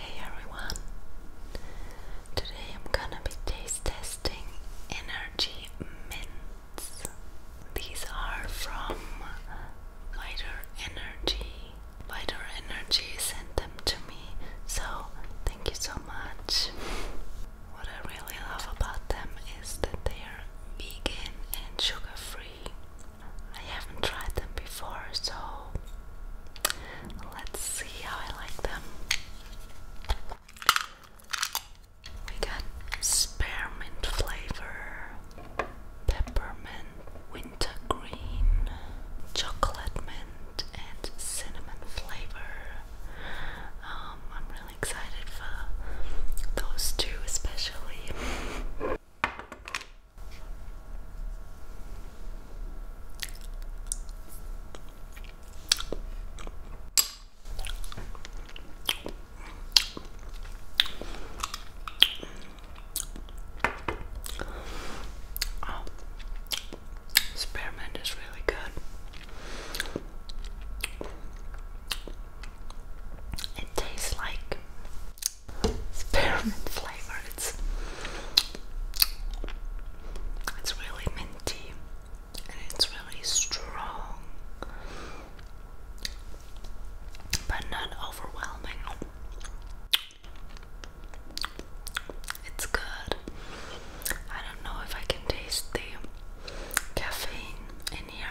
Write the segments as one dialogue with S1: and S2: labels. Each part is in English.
S1: Hey everyone! Today I'm gonna be taste testing energy mint these are from Lighter Energy. Lighter Energy sent them to me, so thank you so much. What I really love about them is that they are vegan and sugar free. I haven't tried them before, so let's see how I like them. We got spearmint flavor, peppermint, wintergreen, chocolate mint, and cinnamon flavor. Um, I'm really excited for those two, especially. Oh, spearmint is really good. It tastes like spearmint flavor. It's it's really minty and it's really strong, but not overwhelming. It's good. I don't know if I can taste the caffeine in here.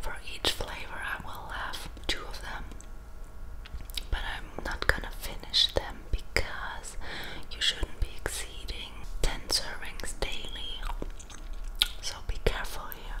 S1: For each flavor, I will have two of them, but I'm not gonna finish them because you shouldn't be exceeding 10 servings daily. So be careful here.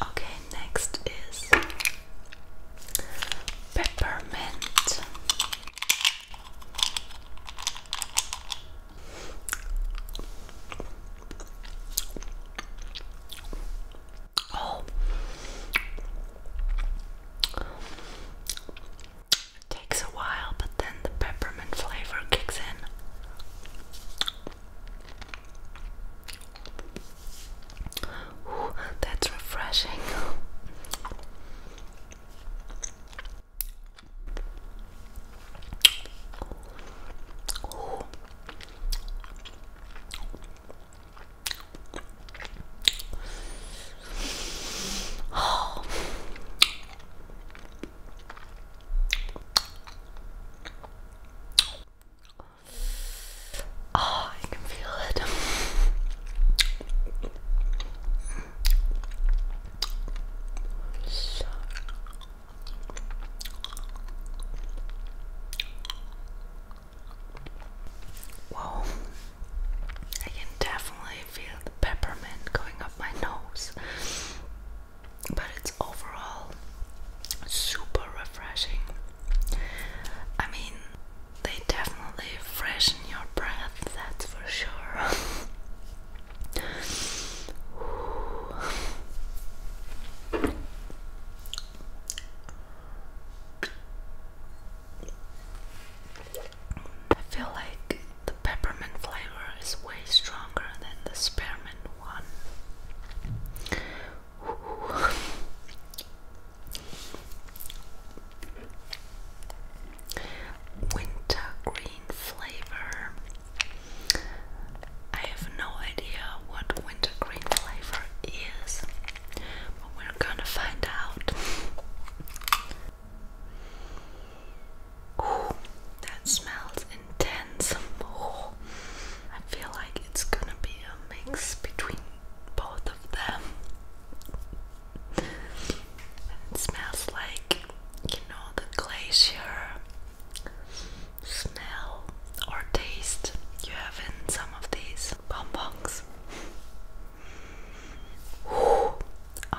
S1: Okay, next is peppermint. Oh, takes a while, but then the peppermint flavor kicks in. Ooh, that's refreshing. Oh. Oh, I can feel it. Whoa, I can definitely feel the peppermint going up my nose but it's overall super refreshing. I mean, they definitely freshen your breath, that's for sure. I feel like the peppermint flavor is way stronger than the spearmint one. Wintergreen flavor. I have no idea what wintergreen flavor is, but we're gonna find out. that smells intense. more. I feel like it's gonna be a mix between both of them. It smells like, you know, the glacier smell or taste you have in some of these bonbons. Ooh.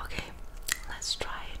S1: Okay, let's try it.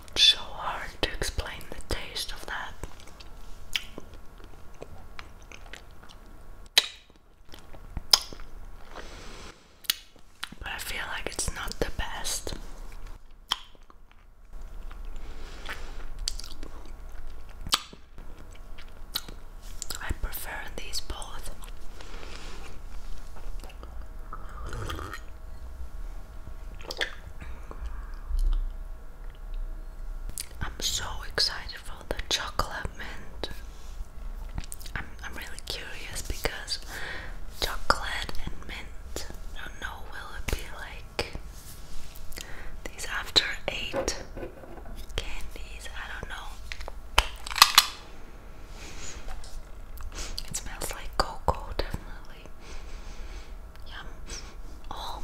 S1: so hard to explain the taste of that. But I feel like it's not the best. I prefer these both. I'm so excited for the chocolate mint. I'm I'm really curious because chocolate and mint. I don't know will it be like these after eight candies. I don't know. It smells like cocoa, definitely. Yum. Oh.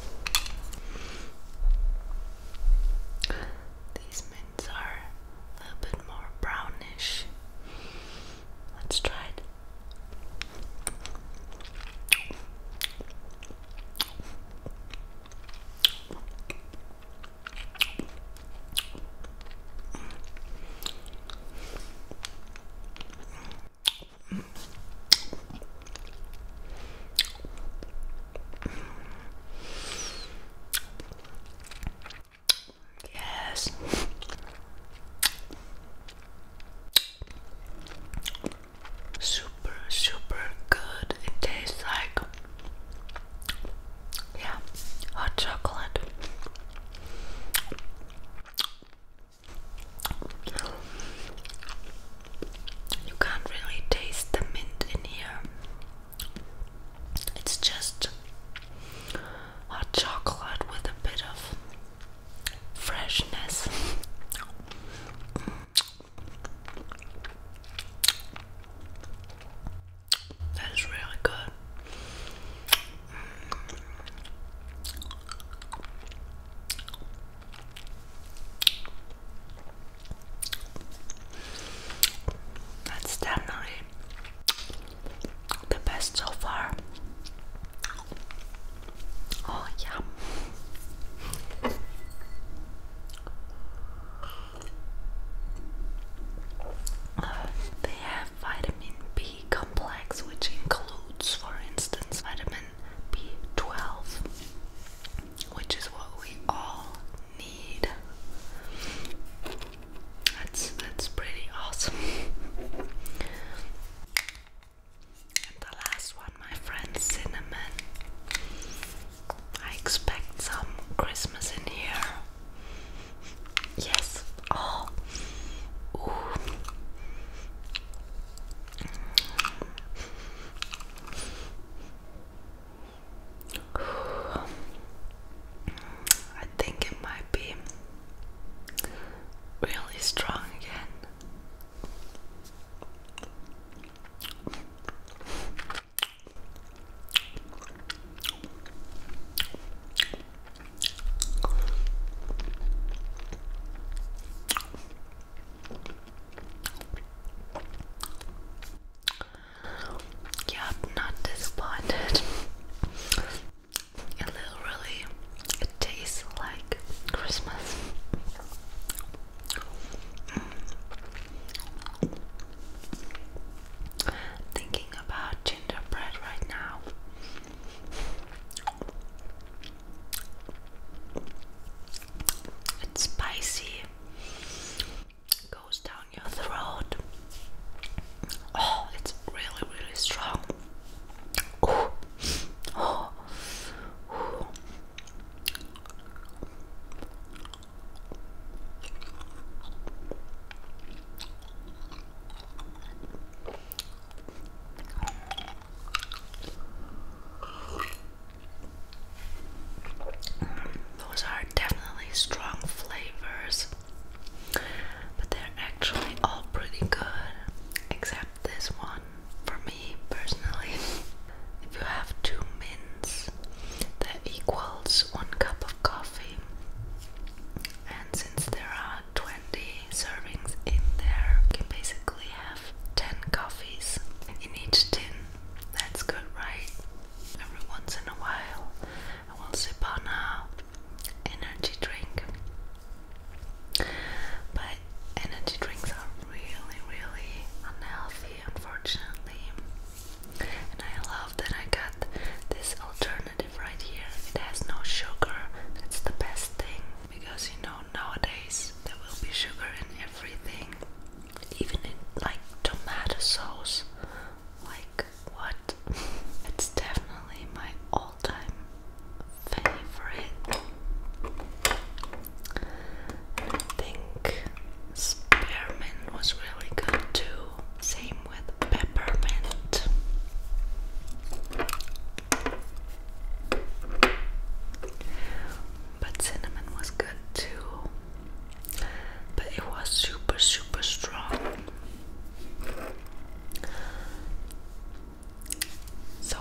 S1: These mints are a bit more brownish. Let's try it. Yes. Super, super good. It tastes like, yeah, hot chocolate. You can't really taste the mint in here. It's just hot chocolate with a bit of freshness. That is really good. That's definitely the best so far. Oh, yeah. Uh, they have vitamin B complex, which includes, for instance, vitamin B12, which is what we all need. That's that's pretty awesome. And the last one, my friend, cinnamon. I expect some Christmas in here. Yes. Oh. Ooh. I think it might be really strong again. Yeah, not disappointed. It literally it tastes like Christmas. Mm about gingerbread right now. It's spicy, goes down your throat. Oh, it's really, really strong. Those are definitely strong flavors, but they're actually all pretty good, except this one for me personally. If you have two mints, that equals one cup of coffee and since there are 20 servings in there, you can basically have 10 coffees in each tin. That's good, right? Every once in a while, I will sip on a energy drink. But energy drinks are really, really unhealthy, unfortunately. And I love that I got this alternative right here. It has no sugar. That's the best thing. Because you know, nowadays there will be sugar in everything. Even in like tomato sauce. Like what? it's definitely my all time favorite. think spearmint was really good too. Same with peppermint. But cinnamon was good too. But it was super, super strong. So,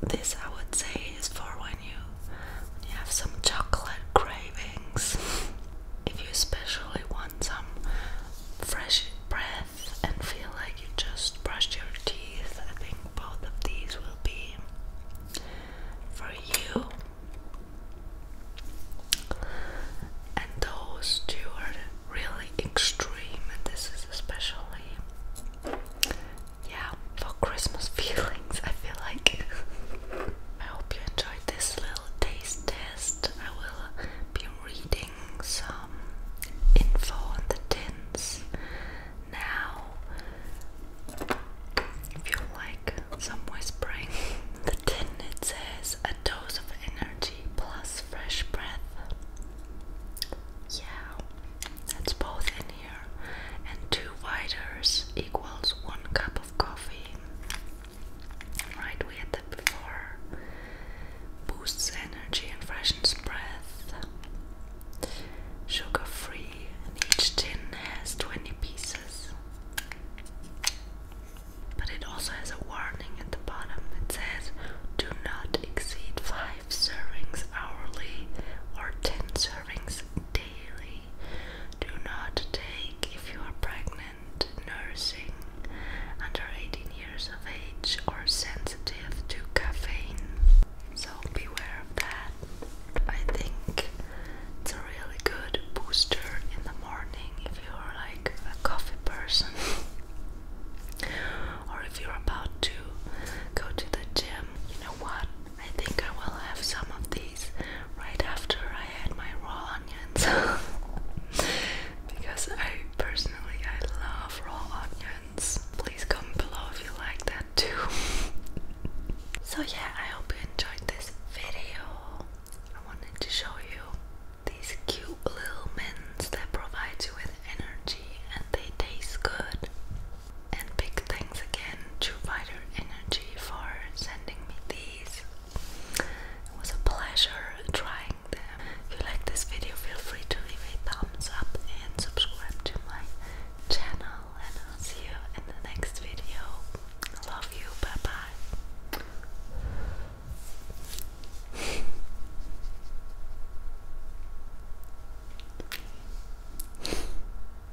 S1: this I would say is for when you, when you have some chocolate cravings. if you especially want some fresh breath and feel like you just brushed your teeth, I think both of these will be for you. And those two are really extreme, and this is especially, yeah, for Christmas feelings. I feel like. I hope you enjoyed this little taste test, I will be reading some info on the tins now. If you like some whispering, the tin it says a dose of energy plus fresh breath. Yeah, that's both in here. And two whiters equals one cup of coffee. Right, we had that before. Boosts energy and freshens breath. Sugar free, and each tin has 20 pieces. But it also has a warning at the bottom. that says, do not exceed 5 servings hourly or 10 servings daily daily. Do not take if you are pregnant, nursing, under 18 years of age, or sensitive to caffeine. So beware of that. I think it's a really good booster in the morning if you're like a coffee person or if you're about to go to the gym. You know what? I think I will have some of these right after I add my raw onions because I personally I love raw onions. Please comment below if you like that too. so yeah, I hope you enjoyed this video. I wanted to show you these cute little mints that provide you with energy and they taste good. And big thanks again to buy their Energy for sending me these. It was a pleasure trying them. If you like this video, feel free to leave a thumbs up and subscribe to my channel. And I'll see you in the next video. Love you. Bye bye.